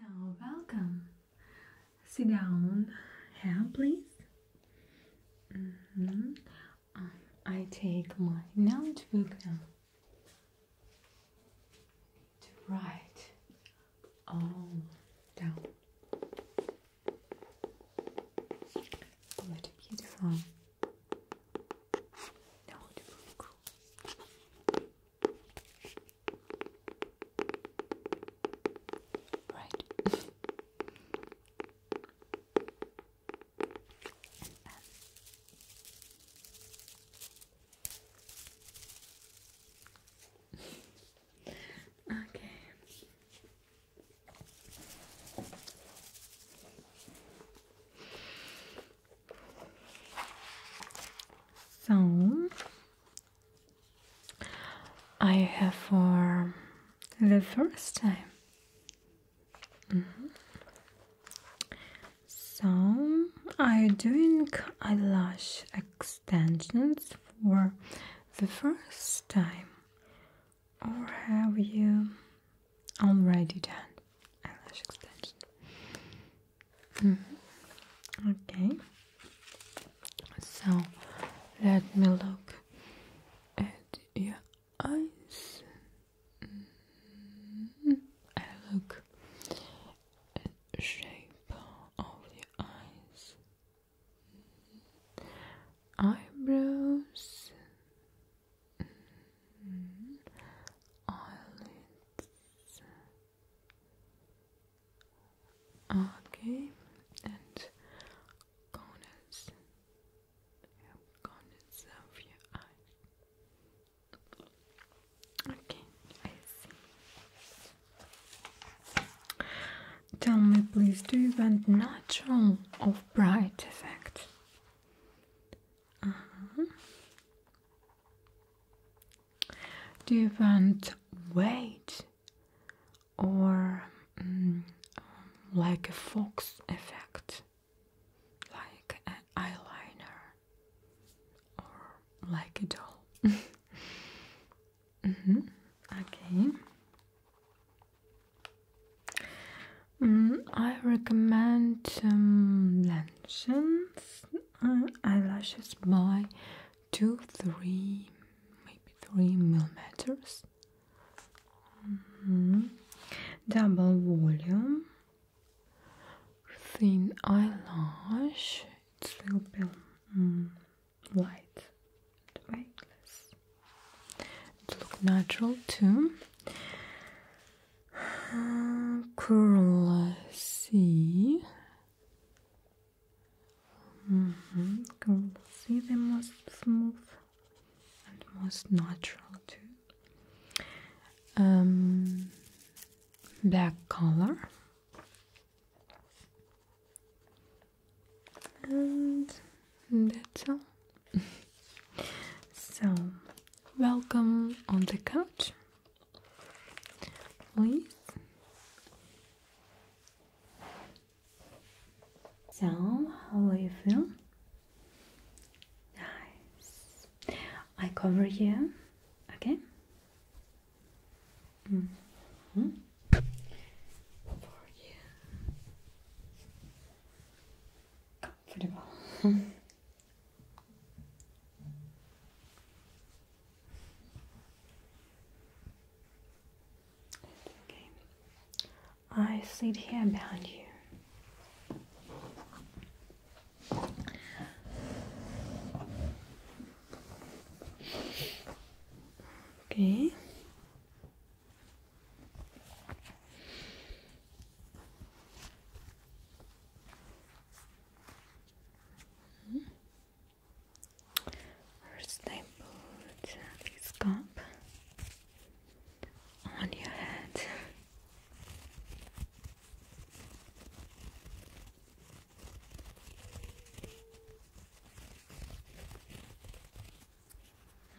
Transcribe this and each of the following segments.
Now, welcome. Sit down here, please. Mm-hmm. Um, I take my notebook now to write all down. What beautiful. Now we Right. okay. So I have for the first time. Mm-hmm. So I'm doing eyelash extensions for the first time or have you already done eyelash extension? Hmm. Okay, so let me look at your eyes. Mm -hmm. I look at shape of your eyes, eyebrows eyelids. Mm-hmm. Okay, and corners, yeah, corners of your eye. Okay, I see. Tell me, please, do you want natural or bright effect? Uh-huh. Do you want weight or mm, like a fox effect, like an eyeliner, or like a doll? Mm-hmm. Okay. Mm, I recommend um, Lantions uh, eyelashes by two, three, maybe three millimeters. Mm-hmm. Double volume, thin eyelash. It's will be mm, light and weightless. It look natural too. Curl C. Mm -hmm. Curl C, the most smooth and most natural too. Um, black color. And that's all. so, welcome on the couch. Please. So, how are you feeling? Nice. I cover here, okay? Mm-hmm. For you comfortable. Okay. I sit here behind you. Okay. Mm -hmm. First, I put this cup on your head.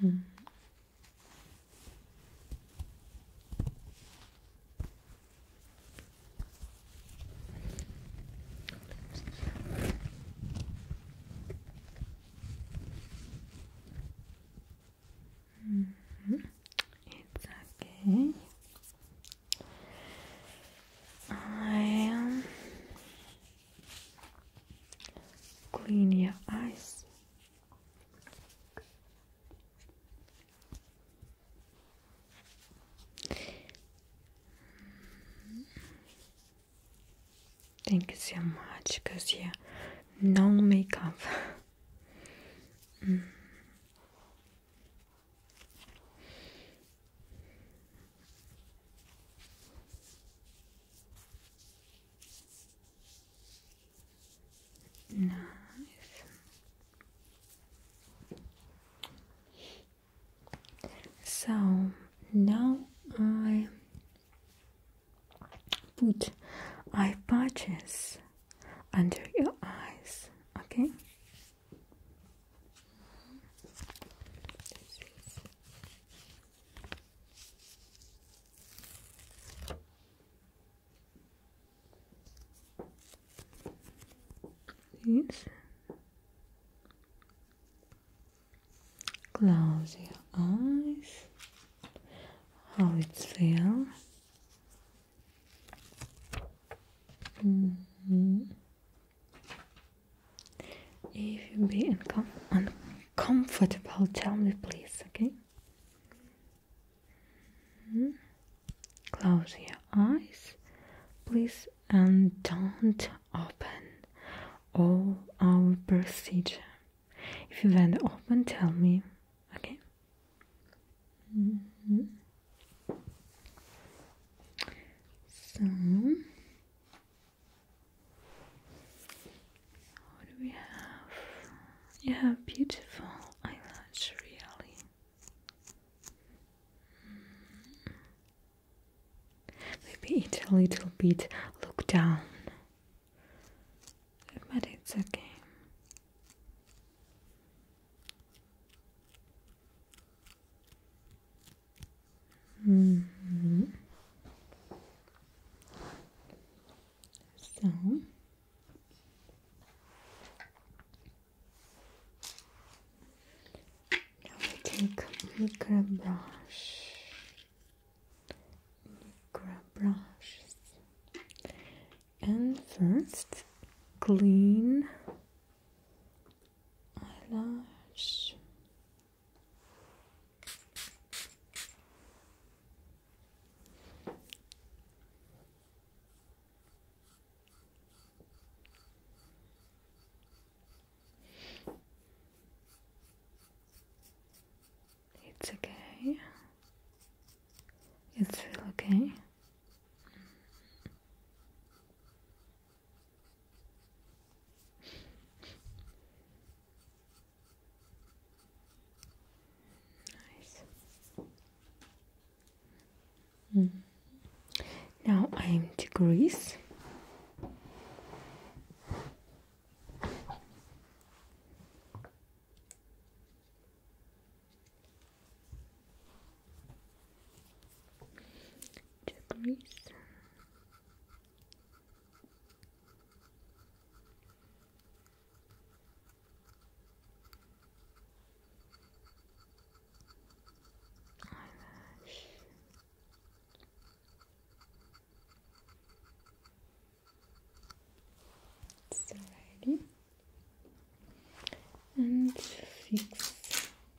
Hmm. -hmm. It's okay. I am um, Clean your eyes. Thank you so much, e não make makeup. Nice. So now I put eye patches under your eyes, okay? Please close your eyes. How it feels. -hmm. If you be uncomfortable, tell me please, okay? Hmm? Close your eyes, please, and don't open all our procedure. If you want to open, tell me, okay? Mm-hmm. So, what do we have? You have beautiful eyelash, really. Hmm. Maybe it a little bit look down, but it's okay. So I take micro brush, and first clean eyelash. It's okay. It's still okay. Nice. Hmm. Now I'm to Greece degrees eyelash it's and fix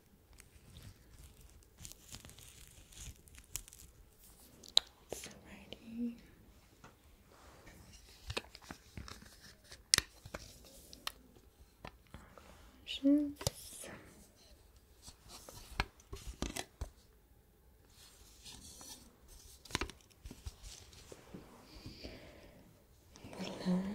Alrighty. Eyelashes. Hello.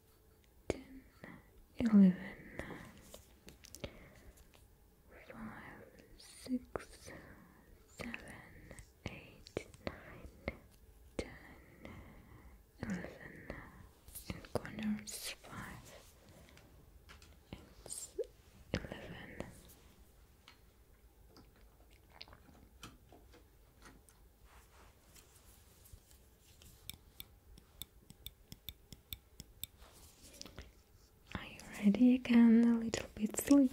ten, eleven, five, six, seven, eight, nine, ten, eleven, and corners five, it's eleven. Are you ready again? A little bit sleep.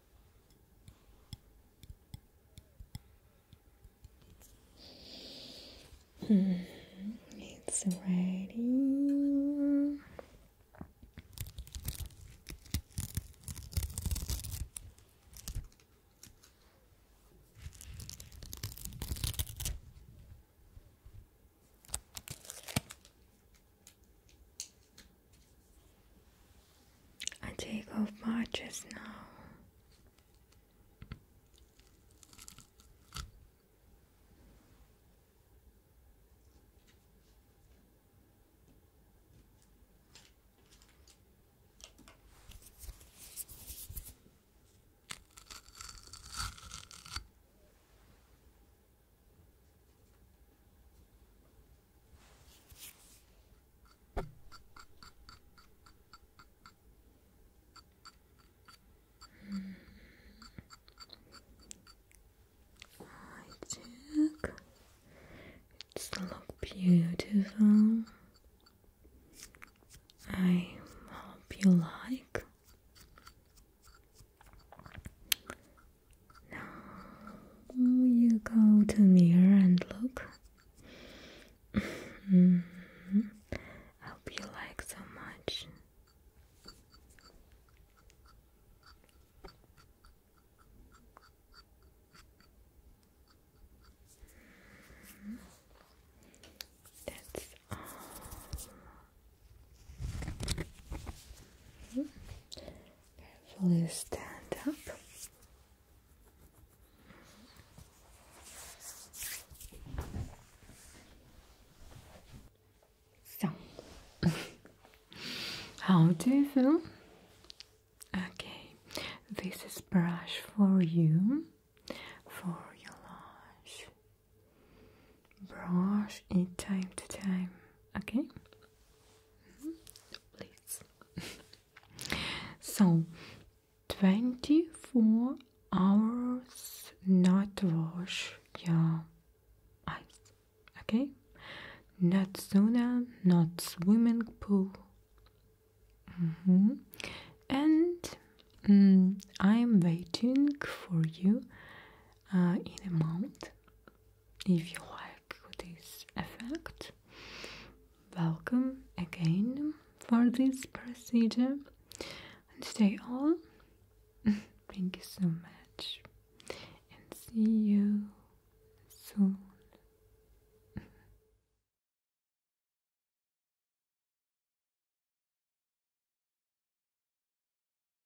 Hmm, it's ready. I take off my dress now. I check. It's look beautiful. I hope you like. Now you go to mirror and look. Mm-hmm. Hope you like so much. That's all. Carefully stand up. So, how do you feel? Okay, this is brush for you, for your lash brush it time to time okay mm-hmm. please so 24 hours not wash yeah. okay not sauna not swimming pool mm-hmm. and i'm mm, waiting for you uh, in a month if you like this effect, welcome again for this procedure. And stay on. Thank you so much. And see you soon.